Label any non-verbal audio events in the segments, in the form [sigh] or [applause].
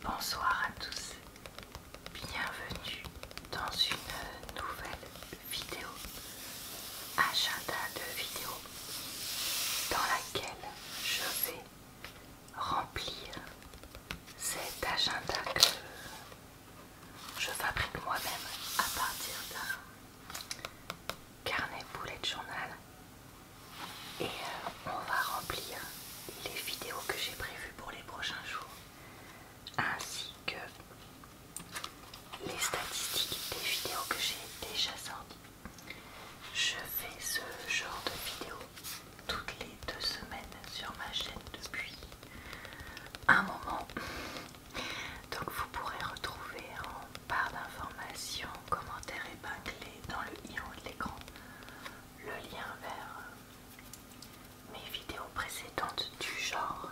Bonsoir à tous, bienvenue dans une nouvelle vidéo, agenda de vidéo, dans laquelle je vais remplir cet agenda que je fabrique moi-même à partir d'un carnet boulet de journal et euh, on va remplir les vidéos que j'ai prévues pour les prochains jours ainsi que les statistiques des vidéos que j'ai déjà sorties. Je fais ce genre de vidéo toutes les deux semaines sur ma chaîne depuis un moment. Donc vous pourrez retrouver en barre d'informations, commentaires épinglés dans le i haut de l'écran le lien vers euh, mes vidéos précédentes du genre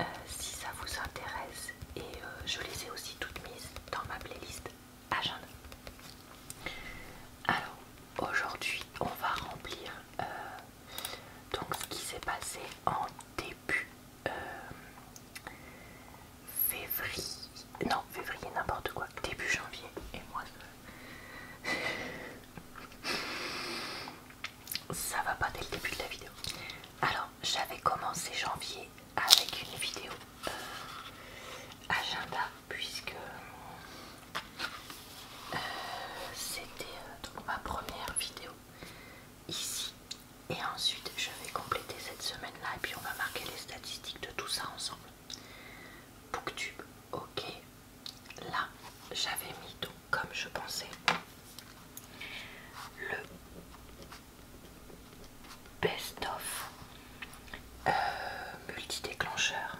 euh, si ça vous intéresse et euh, je les ai aussi toutes mises dans ma playlist agenda. Alors aujourd'hui on va remplir donc ce qui s'est passé en début février. Non, février, n'importe quoi. Début janvier. Et moi, ça va pas dès le début de la vidéo. Alors, j'avais commencé janvier avec une vidéo euh, agenda, puisque euh, c'était euh, ma première vidéo ici. Et ensuite, je vais compléter cette semaine-là et puis on va marquer les statistiques de tout ça ensemble. Booktube, ok. Là, j'avais mis donc comme je pensais le best-of Multidéclencheur multi-déclencheur.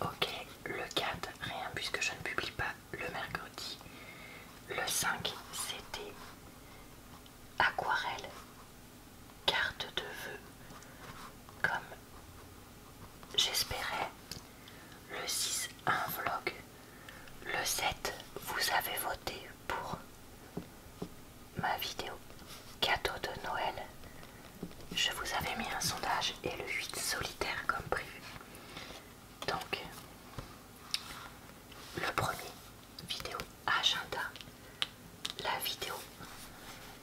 Ok, le 4, rien puisque je ne publie pas le mercredi. Le 5, c'était aquarelle, carte de vœux, comme j'espérais. Le 6, un vlog. Le 7, vous avez voté pour ma vidéo cadeau de Noël. Je vous avais mis un sondage et le 8 solitaire comme prévu. Donc, le premier vidéo agenda, la vidéo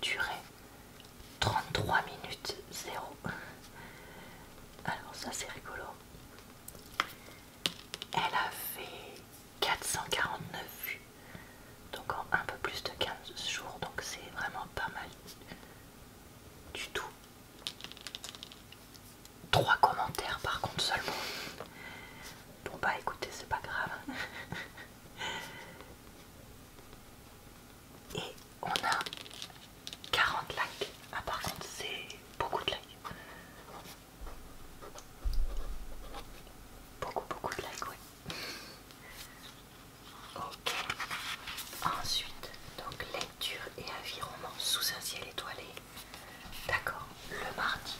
durait 33 minutes 0. Alors ça c'est rigolo. Elle a fait 449 vues, donc en un peu plus de 15 jours, donc c'est vraiment pas mal du tout. 3 commentaires par contre seulement. Bon bah écoutez, c'est pas grave. [laughs] Et on a 40 likes. Ah par contre c'est beaucoup de likes. Beaucoup beaucoup de likes, Ok. Ensuite, donc les et environnement sous un ciel étoilé. D'accord, le mardi.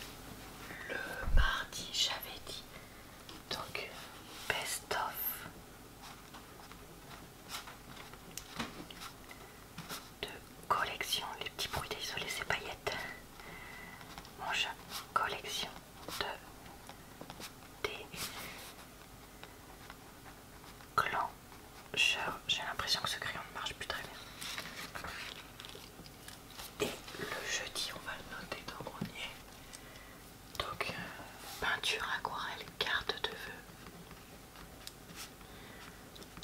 Le mardi, j'avais dit. Donc, best of de collection. Les petits bruits d'isoler ces paillettes. Mon chat, collection de des Clan, J'ai l'impression que ce crayon ne marche plus très bien. Et le jeudi, on va le noter dans le grenier. Donc, euh, peinture, aquarelle, carte de vœux.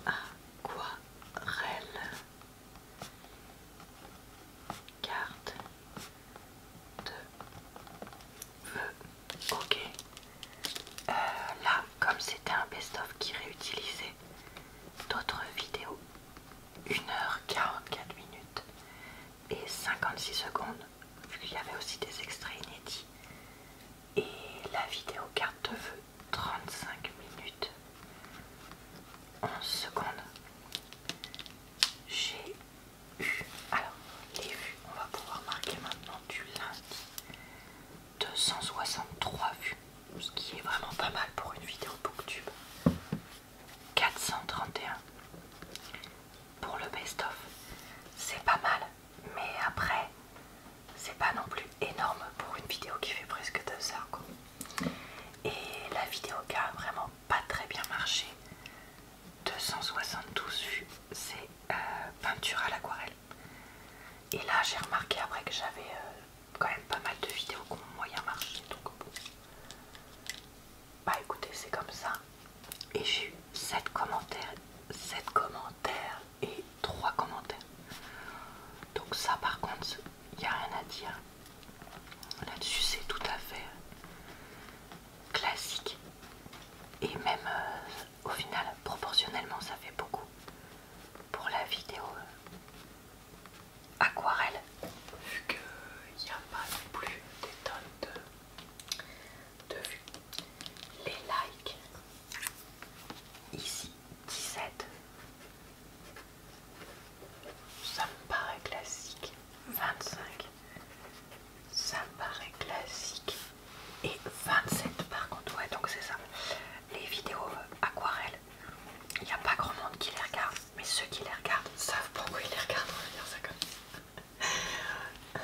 Aquarelle. Carte de vœux. Ok. Euh, là, comme c'était un best-of qui réutilisait d'autres vidéos, 1h44 minutes et 56 secondes, vu qu'il y avait aussi des extraits inédits, et la vidéo carte de vœux, 35 minutes 11 secondes. J'ai eu. Alors, les vues, on va pouvoir marquer maintenant du lundi 263 vues, ce qui est vraiment pas mal pour une vidéo Booktube. 431 pour le best-of, c'est pas mal, mais après, c'est pas non plus énorme pour une vidéo qui fait presque 2 heures. Et la vidéo qui a vraiment pas très bien marché, 272 vues, c'est euh, peinture à l'aquarelle. Et là, j'ai remarqué après que j'avais euh, quand même pas mal de vidéos qui ont moyen marché. Donc, bon. Bah écoutez, c'est comme ça. Et j'ai eu 7 commentaires, 7 commentaires et 3 commentaires. Donc ça par contre, il n'y a rien à dire. Là-dessus, c'est tout à fait classique. Et même, euh, au final, proportionnellement, ça fait beaucoup. Pour la vidéo euh, aquarelle, vu qu'il n'y a pas non plus des tonnes de, de vues, les likes, ici 17, ça me paraît classique, 25, ça me paraît classique, et 27 par contre, ouais donc c'est ça. Les vidéos aquarelles, il n'y a pas grand monde qui les regarde, mais ceux qui les regardent savent pourquoi ils les regardent, on va dire ça comme ça.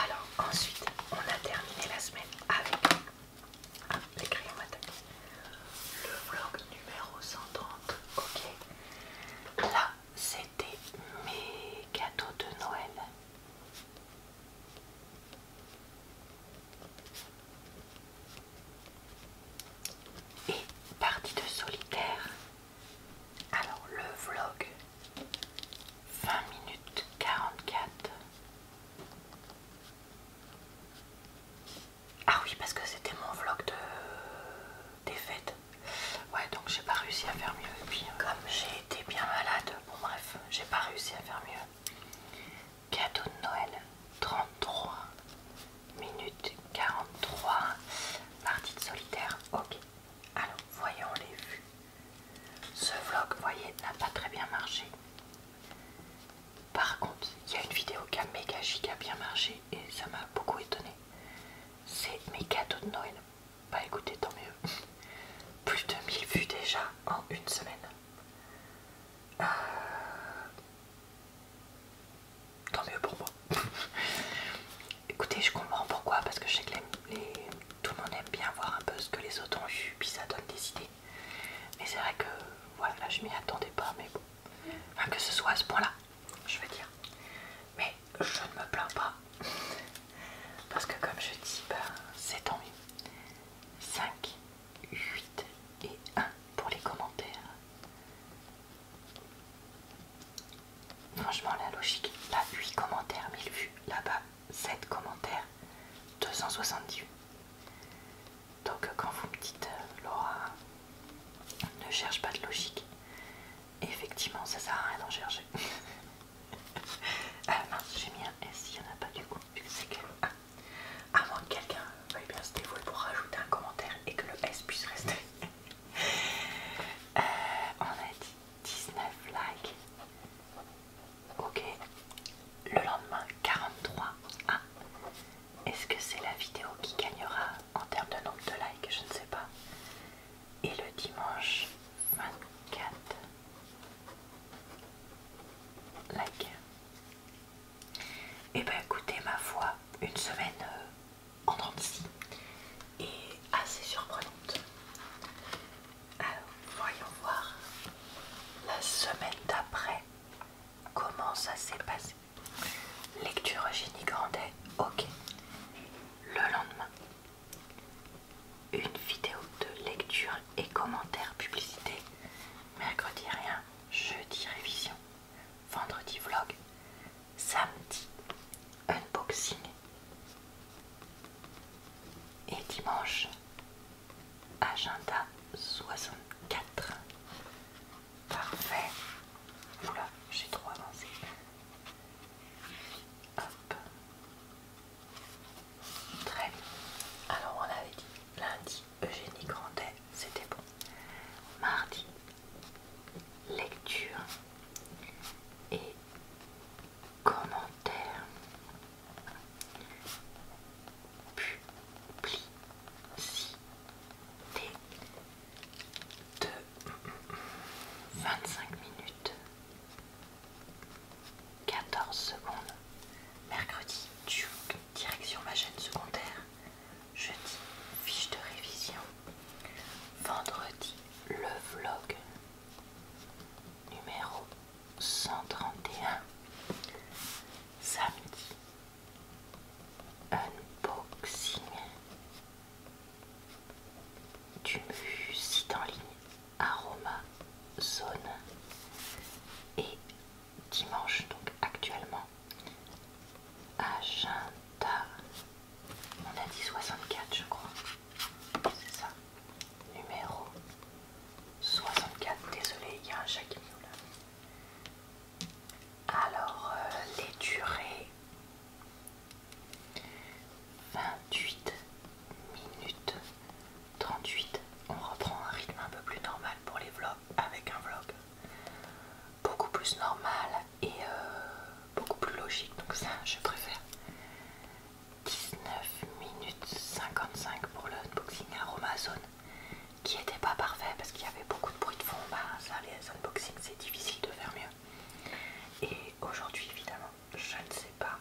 [laughs] Alors ensuite, on a terminé la semaine avec les crayons Le vlog numéro 130, ok. Là, c'était mes gâteaux de Noël. Et partie de solitaire. Alors le vlog 20 minutes 44. Ah oui, parce que c'était mon vlog de... des fêtes. Ouais, donc j'ai pas réussi à faire mieux. Et puis, euh, comme j'ai été bien malade, bon bref, j'ai pas réussi à faire mieux. Cadeau de Noël 33 minutes 43 partie de solitaire. Ok, alors voyons les vues. Ce vlog, voyez, n'a pas très bien marché. Par contre, il y a une vidéo qui a méga giga bien marché et ça m'a beaucoup étonné. C'est mes cadeaux de Noël. Bah écoutez, tant mieux. Plus de 1000 vues déjà en une semaine. Euh, tant mieux pour moi. [laughs] écoutez, je comprends pourquoi, parce que je sais que tout le monde aime bien voir un peu ce que les autres ont vu puis ça donne des idées. Mais c'est vrai que voilà, je m'y attendais pas, mais bon. Enfin, que ce soit à ce point-là, je veux dire. Mais je ne me plains pas. Parce que comme je dis, c'est tant mieux. 5, 8 et 1 pour les commentaires. Franchement, la logique, là 8 commentaires, 1000 vues, là-bas 7 commentaires, 278 Donc quand vous me dites, euh, Laura, ne cherche pas de logique, effectivement, ça sert à rien d'en chercher. [laughs] [laughs] Ah, mince, j'ai mis un S, il n'y en a pas du coup, vu que c'est moins que quelqu'un veuille bien se dévouer pour rajouter un commentaire et que le S puisse rester. [laughs] Euh, on a dit 19 likes. Ok. Le lendemain, 43. Ah. Est-ce que c'est la vidéo qui gagnera en termes de nombre de likes Je ne sais pas. Et le dimanche 24. Like Et eh ben écoutez, ma foi, une semaine en euh, en dentiste est assez surprenante. Alors, voyons voir la semaine d'après comment ça s'est passé. Lecture génie Grandet, ok. Le lendemain, une vidéo de lecture et commentaires publicité. Mercredi rien, jeudi révision, vendredi vlog, samedi unboxing et dimanche agenda 64. Parfait. Oula, j'ai trop avancé. Très bien. Alors on avait dit lundi, Eugénie Grandet, c'était bon. Mardi, lecture et commentaire. Publicité de 25 minutes 14 secondes. Mercredi, direction ma chaîne secondaire. Jeudi, fiche de révision. Vendredi, le vlog numéro 131. Samedi, unboxing du site en ligne Aroma Zone et dimanche donc actuellement Agenda on a dit 64 je crois c'est ça numéro 64 désolé il y a un chacun nous alors euh, les durées 28 minutes 38. On reprend un rythme un peu plus normal pour les vlogs avec un vlog. Beaucoup plus normal et euh, beaucoup plus logique. Donc ça, je préfère. 19 minutes 55 pour le unboxing Aromazone qui n'était pas parfait parce qu'il y avait beaucoup de bruit de fond. Bah, ça, les unboxings, c'est difficile de faire mieux. Et aujourd'hui, évidemment, je ne sais pas,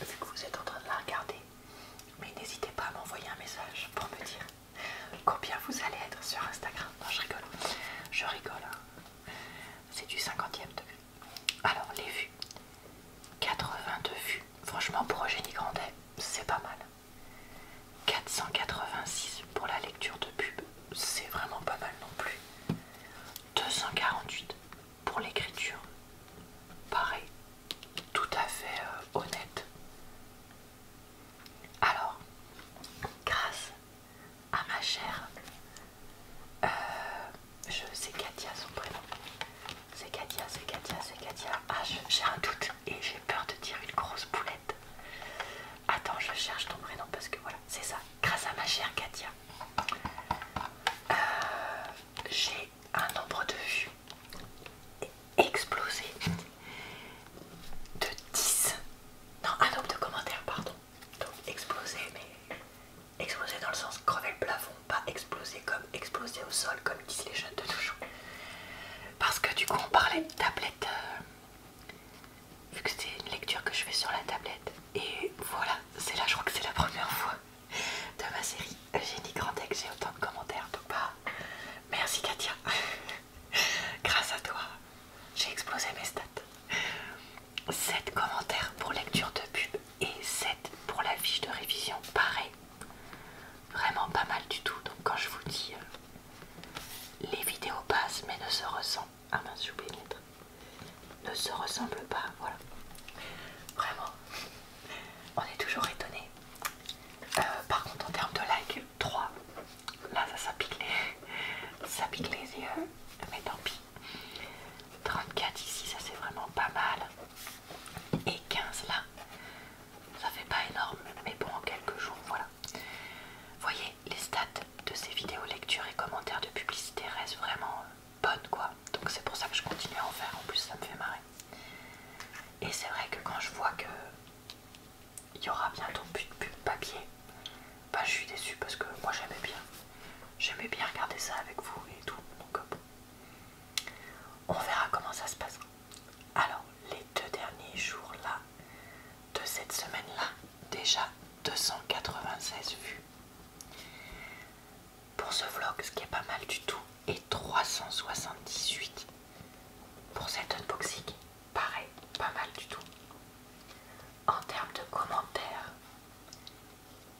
vu que vous êtes en train de la regarder, mais n'hésitez pas à m'envoyer un message pour me dire combien vous allez être sur Instagram. Non, je rigole, je rigole, hein. c'est du 50ème de vue. Alors, les vues, 82 vues, franchement, pour Eugénie Grandet, c'est pas mal. 486 pour la lecture de pub, c'est vraiment pas mal non plus. 248 pour l'écriture. Pareil, tout à fait euh, honnête. Alors, grâce à ma chère, euh, je sais Katia son prénom. C'est Katia, c'est Katia, c'est Katia. Ah, j'ai un doute et j'ai peur de dire une grosse boulette. Attends, je cherche ton prénom parce que voilà, c'est ça. Grâce à ma chère Katia, euh, j'ai un nombre de vues explosé de 10 non un nombre de commentaires pardon donc explosé mais explosé dans le sens crever le plafond pas explosé comme explosé au sol comme disent les jeunes de toujours parce que du coup on parlait de tablette euh, vu que c'est une lecture que je fais sur la tablette et voilà c'est là je crois que c'est la première fois de ma série j'ai dit grand texte, j'ai autant de commentaires, donc pas. merci Katia, [laughs] grâce à toi j'ai explosé mes stats. 7 commentaires pour lecture de pub et 7 pour la fiche de révision, pareil, vraiment pas mal du tout, donc quand je vous dis euh, les vidéos passent mais ne se ressentent, à ah, mince ne se ressemblent pas. Voilà. Vraiment, on est toujours étonné. Euh, par contre, en termes de likes 3. Là, ça, ça [laughs] ça pique les yeux, mais tant pis. 34 ici, ça c'est vraiment pas mal. Et 15 là, ça fait pas énorme, mais bon, en quelques jours, voilà. Voyez, les stats de ces vidéos, lectures et commentaires de publicité restent vraiment euh, bonne quoi. Donc c'est pour ça que je continue à en faire, en plus ça me fait marrer. Et c'est vrai que quand je vois que il y aura bientôt plus de papier, bah je suis déçue parce que moi j'aimais bien. J'aimais bien regarder ça avec vous et tout. Donc bon. On verra comment ça se passe. Alors, les deux derniers jours là, de cette semaine là, déjà 296 vues pour ce vlog, ce qui est pas mal du tout, et 378 pour cet unboxing, pareil, pas mal du tout. En termes de commentaires,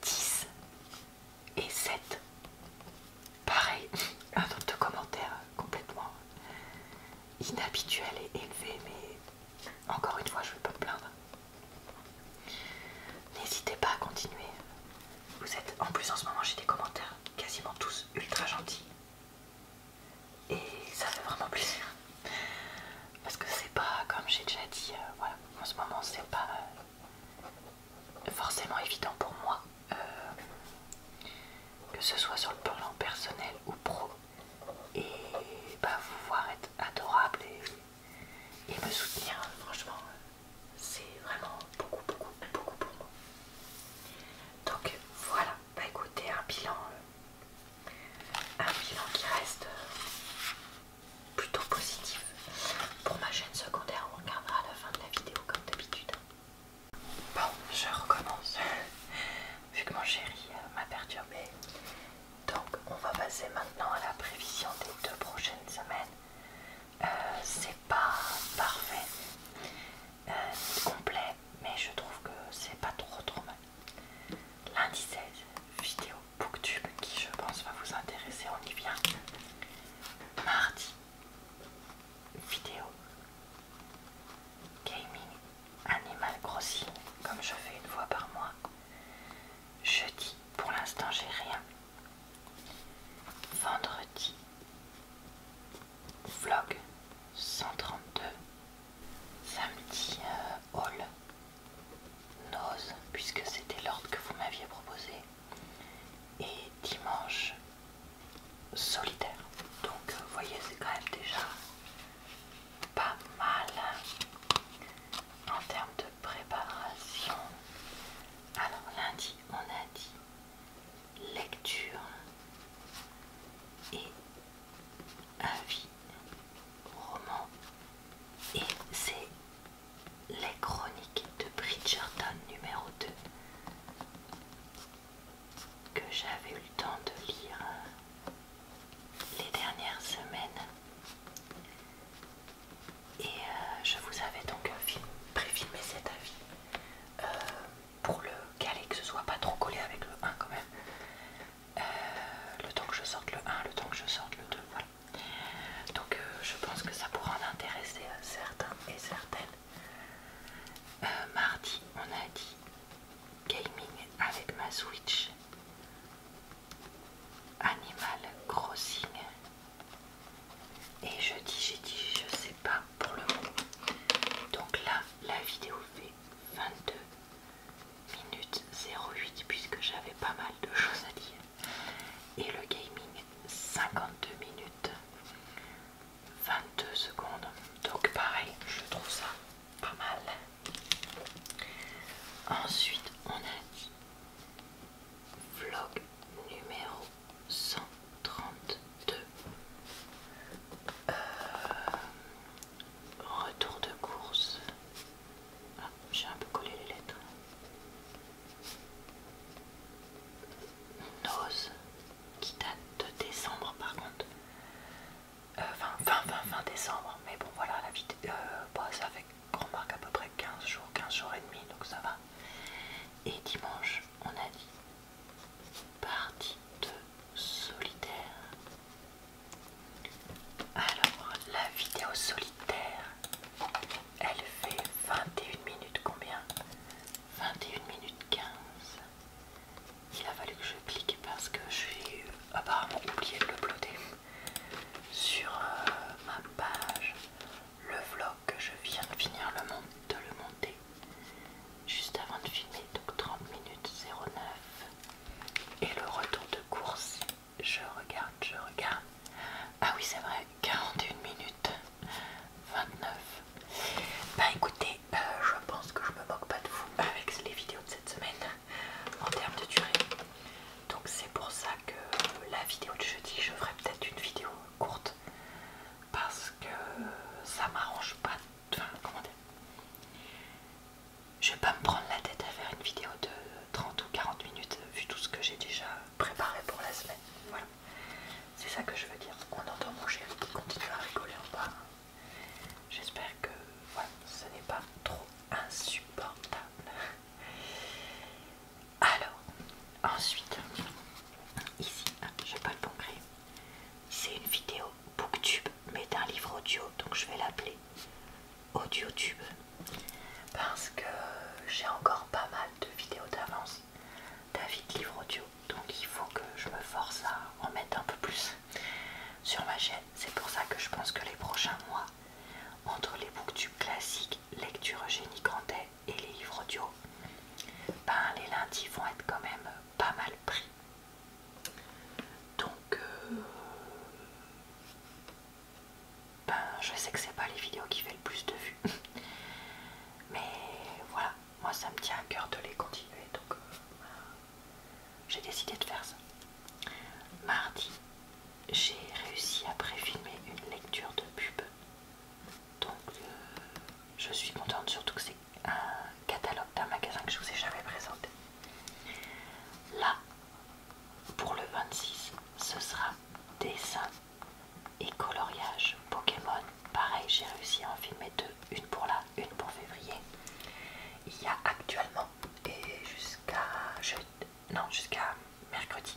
10 et 7, pareil, [laughs] un nombre de commentaires complètement inhabituel et élevé, mais encore une fois, je ne vais pas me plaindre. N'hésitez pas à continuer. Vous êtes en plus en ce moment j'ai des commentaires quasiment tous ultra gentils. Et ça fait vraiment plaisir. Parce que c'est pas, comme j'ai déjà dit, euh, voilà, en ce moment c'est pas euh, forcément évident pour moi. Euh, que ce soit sur le plan personnel ou pro. Et pas bah, vous voir être adorable et et me soutenir. Franchement, c'est vraiment beaucoup, beaucoup, beaucoup pour moi. Donc voilà, bah écoutez, un bilan, euh, un bilan qui reste euh, plutôt positif pour ma chaîne secondaire. On regardera à la fin de la vidéo comme d'habitude. Bon, je recommence. [laughs] Vu que mon chéri euh, m'a perturbé, donc on va passer maintenant à la prévision des deux prochaines semaines. Euh, c'est pas parfait ni euh, complet, mais je trouve que c'est pas trop trop mal. Lundi 16, vidéo Booktube qui je pense va vous intéresser, on y vient. Mardi, vidéo gaming, animal crossing, comme je fais une fois par mois. Jeudi, pour l'instant j'ai rien. Vendredi. Vlog 132. Samedi euh, Hall haul. Nose, puisque c'était l'ordre que vous m'aviez proposé. Et dimanche solitaire. Donc euh, voyez, c'est quand même déjà pas mal en termes de préparation, alors lundi on a dit lecture et avis roman et c'est les chroniques de Bridgerton numéro 2 que j'avais eu le temps de lire euh, les dernières semaines et euh, je vous avais donc préfilmé cet avis euh, pour le caler, que ce soit pas trop collé avec le 1 quand même. Euh, le temps que je sorte le 1, le temps que je sorte le 2, voilà. Donc je pense que ça pourra en intéresser certains et certaines. mardi, on a dit gaming avec ma Switch. Animal Crossing. Et je dis, j'ai dit, je sais pas pour le mot. Donc là, la vidéo fait 22 minutes 08 puisque j'avais pas mal de choses à dire. Et le gaming 52 minutes 22 secondes. Donc pareil, je trouve ça pas mal. Ensuite, on a vlog numéro 132. Euh, retour de course. Ah, j'ai un peu collé les lettres. Nose, qui date de décembre par contre. Euh, fin, décembre. Mais bon, voilà, la vie Euh, bah, ça qu'on remarque à peu près 15 jours, 15 jours et demi, donc ça va. Et dimanche, on a dit partie de solitaire. Alors, la vidéo solitaire, elle fait 21 minutes combien 21 minutes 15. Il a fallu que je clique parce que j'ai apparemment oublié de le sur euh, ma page le vlog que je viens de finir le de le monter juste avant de filmer, donc 30 minutes 09 et le retour de course, je regarde, je regarde. Ah oui c'est vrai, 41 minutes 29. Bah écoutez, euh, je pense que je me moque pas de vous avec les vidéos de cette semaine en termes de durée. Donc c'est pour ça que la vidéo de jeudi, je ferai peut-être une vidéo courte parce que ça m'arrange pas. Enfin, comment Je vais pas me prendre la tête à faire une vidéo de 30 ou 40 minutes vu tout ce que j'ai déjà préparé pour la semaine. Voilà. C'est ça que je veux dire. On entend mon chien qui continue à rigoler en bas. J'espère que voilà, ce n'est pas trop insupportable. Alors, ensuite, ici, je n'ai pas le bon gré, C'est une vidéo booktube, mais d'un livre audio, donc je vais l'appeler AudioTube. Parce que j'ai encore pas mal de vidéos d'avance d'avis de livres audio, donc il faut que je me force à en mettre un peu plus sur ma chaîne. C'est pour ça que je pense que les prochains mois, entre les booktubes classiques lecture Eugénie Grandet et les livres audio, ben, les lundis vont être quand même pas mal pris. Donc, euh, ben, je sais que c'est pas les vidéos qui fait le plus de vues, [laughs] mais voilà, moi ça me tient à coeur de les continuer, donc euh, j'ai décidé de faire ça. Mardi, j'ai réussi à préfilmer une lecture de pub. Donc euh, je suis contente, surtout que c'est un catalogue d'un magasin que je vous ai jamais présenté. Là, pour le 26, ce sera dessin et coloriage Pokémon. Pareil, j'ai réussi à en filmer deux, une pour là, une pour février. Il y a actuellement et jusqu'à non, jusqu'à mercredi,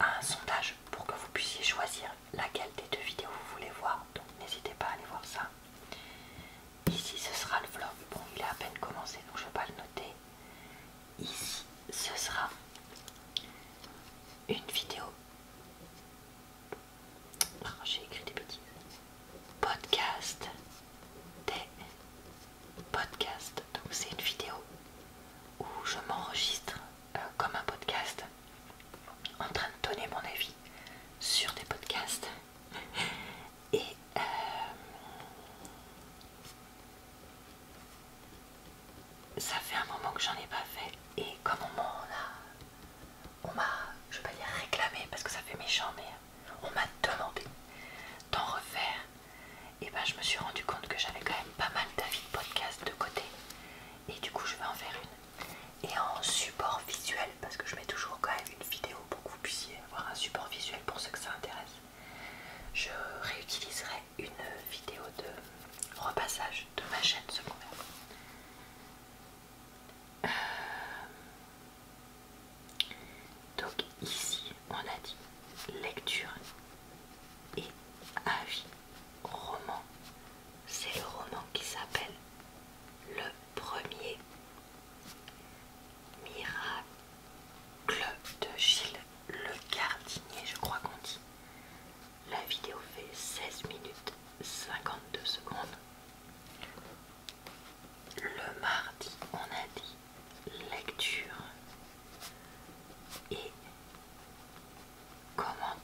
un sondage pour que vous puissiez choisir laquelle des deux vidéos vous voulez voir. Donc n'hésitez pas à aller voir ça. Ici, ce sera le vlog. Bon, il a à peine commencé, donc je ne vais pas le noter. Ici, ce sera une vidéo. Ah, j'ai écrit des petits Podcast des podcast. Donc c'est une vidéo où je m'enregistre euh, comme un podcast en train de donner mon avis sur des podcasts. Et euh, ça fait un moment que j'en ai pas fait. Et comme on m'a, on m'a, je vais pas dire réclamé parce que ça fait méchant, mais on m'a demandé d'en refaire et ben je me suis rendu compte que j'avais quand même pas mal d'avis de podcast de côté et du coup je vais en faire une et en support visuel parce que je mets toujours quand même une vidéo pour que vous puissiez avoir un support visuel pour ceux que ça intéresse je réutiliserai une vidéo de repassage de ma chaîne secondaire euh, ici on a dit lecture et avis roman. C'est le roman qui s'appelle Le Premier Miracle de Gilles Le Gardinier, je crois qu'on dit. La vidéo fait 16 minutes 52 secondes. Le mardi, on a dit lecture et commentaires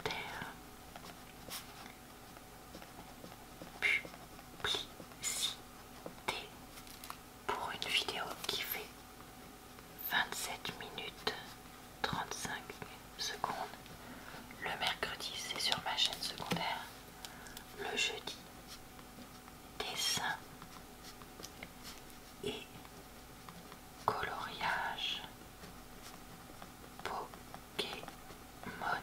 publicité pour une vidéo qui fait 27 minutes 35 secondes le mercredi c'est sur ma chaîne secondaire le jeudi dessin et coloriage Pokémon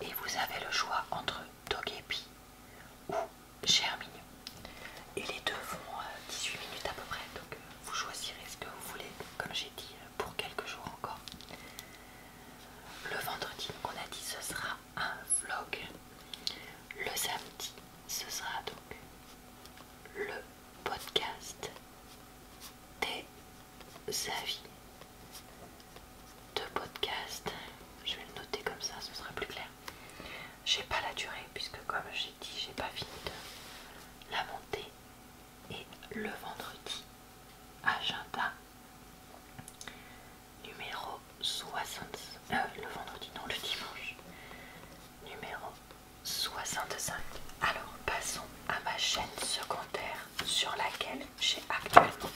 et vous avez le choix entre Dogepi ou Germignon et les deux font 18 euh, minutes à peu près donc euh, vous choisirez ce que vous voulez comme j'ai dit euh, pour quelques jours encore le vendredi on a dit ce sera un vlog le samedi ce sera donc le podcast des avis de podcast. Je vais le noter comme ça, ce sera plus clair. J'ai pas la durée puisque comme j'ai dit, j'ai pas fini de la montée Et le vendredi, agenda numéro 60. Euh, le vendredi, non, le dimanche numéro 65. Alors passons à ma chaîne secondaire sur laquelle j'ai actuellement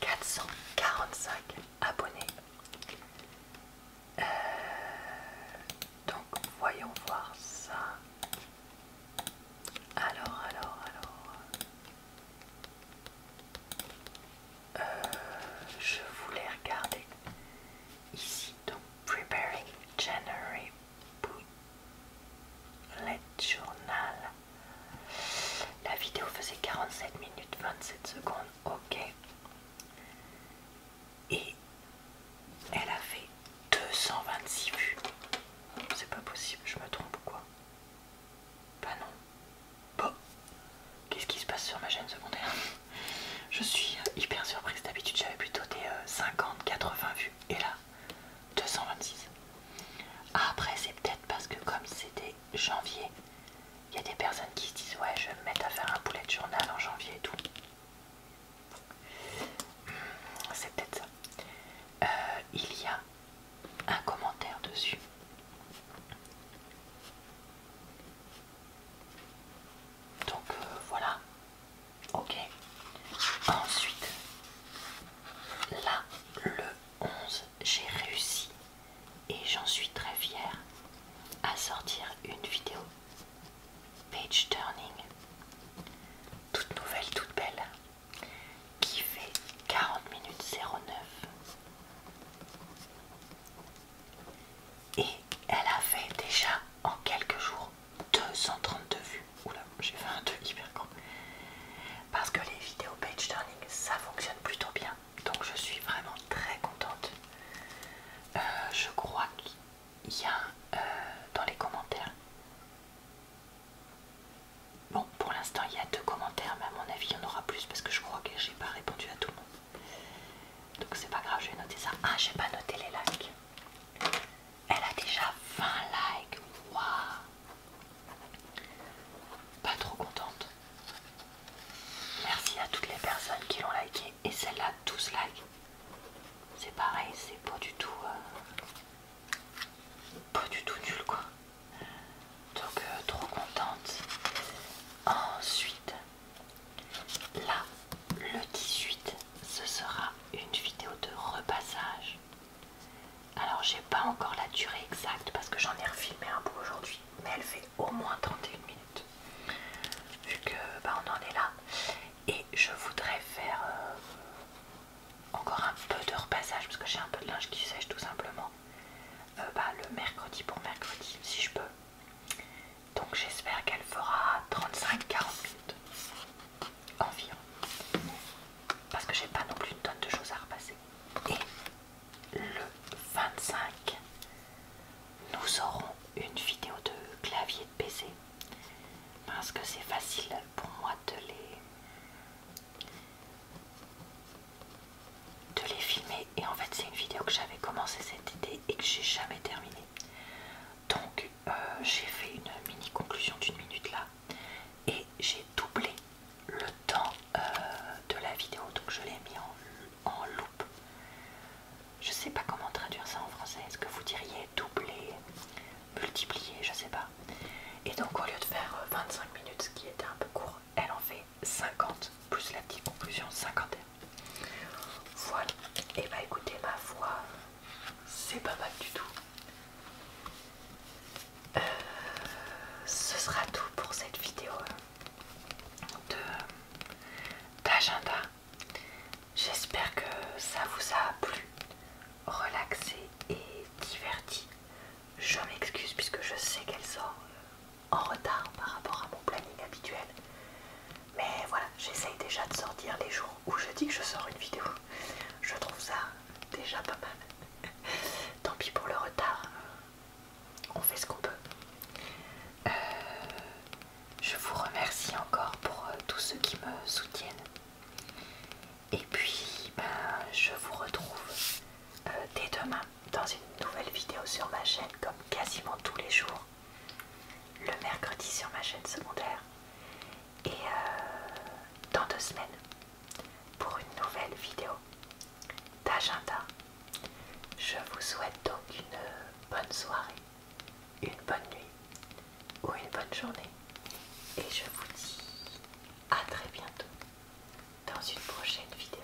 445 abonnés. Euh, donc voyons voir ça. Alors, alors, alors. Euh, je voulais regarder ici donc Preparing January Bullet Journal. La vidéo faisait 47 minutes 27 secondes, ok. Et elle a fait 226 vues. C'est pas possible, je me trompe ou quoi Bah non. Qu'est-ce qui se passe sur ma chaîne secondaire Je suis hyper surprise. D'habitude, j'avais plutôt des 50, euh, 80 vues. Et là, 226. Après, c'est peut-être parce que comme c'était janvier, il y a des personnes qui se disent ouais, je vais me mettre à faire un poulet de journal en janvier et tout. Hmm, c'est peut-être ça. Euh, il y a un commentaire dessus. Donc euh, voilà. Ok. Ensuite, là, le 11, j'ai réussi et j'en suis très fière à sortir une vidéo page turning toute nouvelle, toute belle qui fait 40 minutes 09 et elle a fait déjà en quelques jours 232 vues. Oula, j'ai fait un 2 hyper grand. Parce que les vidéos page turning, ça fonctionne plutôt bien. Donc je suis vraiment très contente. Euh, je crois qu'il y a euh, dans les commentaires. Bon, pour l'instant, il y a deux commentaires, mais à mon avis, il y en aura plus parce que je crois que j'ai pas répondu à tout le monde. Donc c'est pas grave, je vais noter ça. Ah, j'ai pas noté les likes. Elle a déjà 20 likes. Waouh Pas trop contente. Merci à toutes les personnes qui l'ont liké. Et celle-là, 12 likes. C'est pareil, c'est pas du tout... Euh, pas du tout nul quoi. Donc euh, trop contente. Ensuite, Là, le 18, ce sera une vidéo de repassage. Alors, j'ai pas encore la durée exacte parce que j'en ai refilmé un peu aujourd'hui, mais elle fait au moins 31 minutes vu que bah, on en est là. Et je voudrais faire euh, encore un peu de repassage parce que j'ai un peu de linge qui sèche tout simplement. Euh, bah, le mercredi pour mercredi, si je peux. Donc j'espère qu'elle fera 35-40 minutes environ. Parce que j'ai pas non plus une tonne de choses à repasser. Et le 25, nous aurons une vidéo de clavier de PC. Parce que c'est facile pour moi de les de les filmer et en fait c'est une vidéo que j'avais commencé cette idée et que j'ai jamais terminée. Donc euh, j'ai fait une mini conclusion d'une minute là et j'ai doublé le temps euh, de la vidéo donc je l'ai mis en, en loop. Je sais pas comment traduire ça en français, est-ce que vous diriez doubler, multiplier, je sais pas. Et donc au lieu de faire 25 euh, minutes, ce qui était un peu court, elle en fait 50 plus la petite conclusion cinquantaine. Voilà, et eh bah ben, écoutez, ma voix c'est pas mal du tout. Euh, ce sera tout pour cette vidéo De d'agenda. J'espère que ça vous a plu, relaxé et diverti. Je m'excuse puisque je sais qu'elle sort euh, en retard par rapport à mon planning habituel. Mais voilà, j'essaye déjà de sortir les jours où je dis que je sors une vidéo. Je trouve ça déjà pas mal. [laughs] Tant pis pour le retard, on fait ce qu'on peut. Euh, je vous remercie encore pour euh, tous ceux qui me soutiennent. Et puis, ben, je vous retrouve euh, dès demain dans une nouvelle vidéo sur ma chaîne, comme quasiment tous les jours le mercredi sur ma chaîne secondaire et euh, dans deux semaines pour une nouvelle vidéo d'agenda. Je vous souhaite donc une bonne soirée, une bonne nuit ou une bonne journée et je vous dis à très bientôt dans une prochaine vidéo.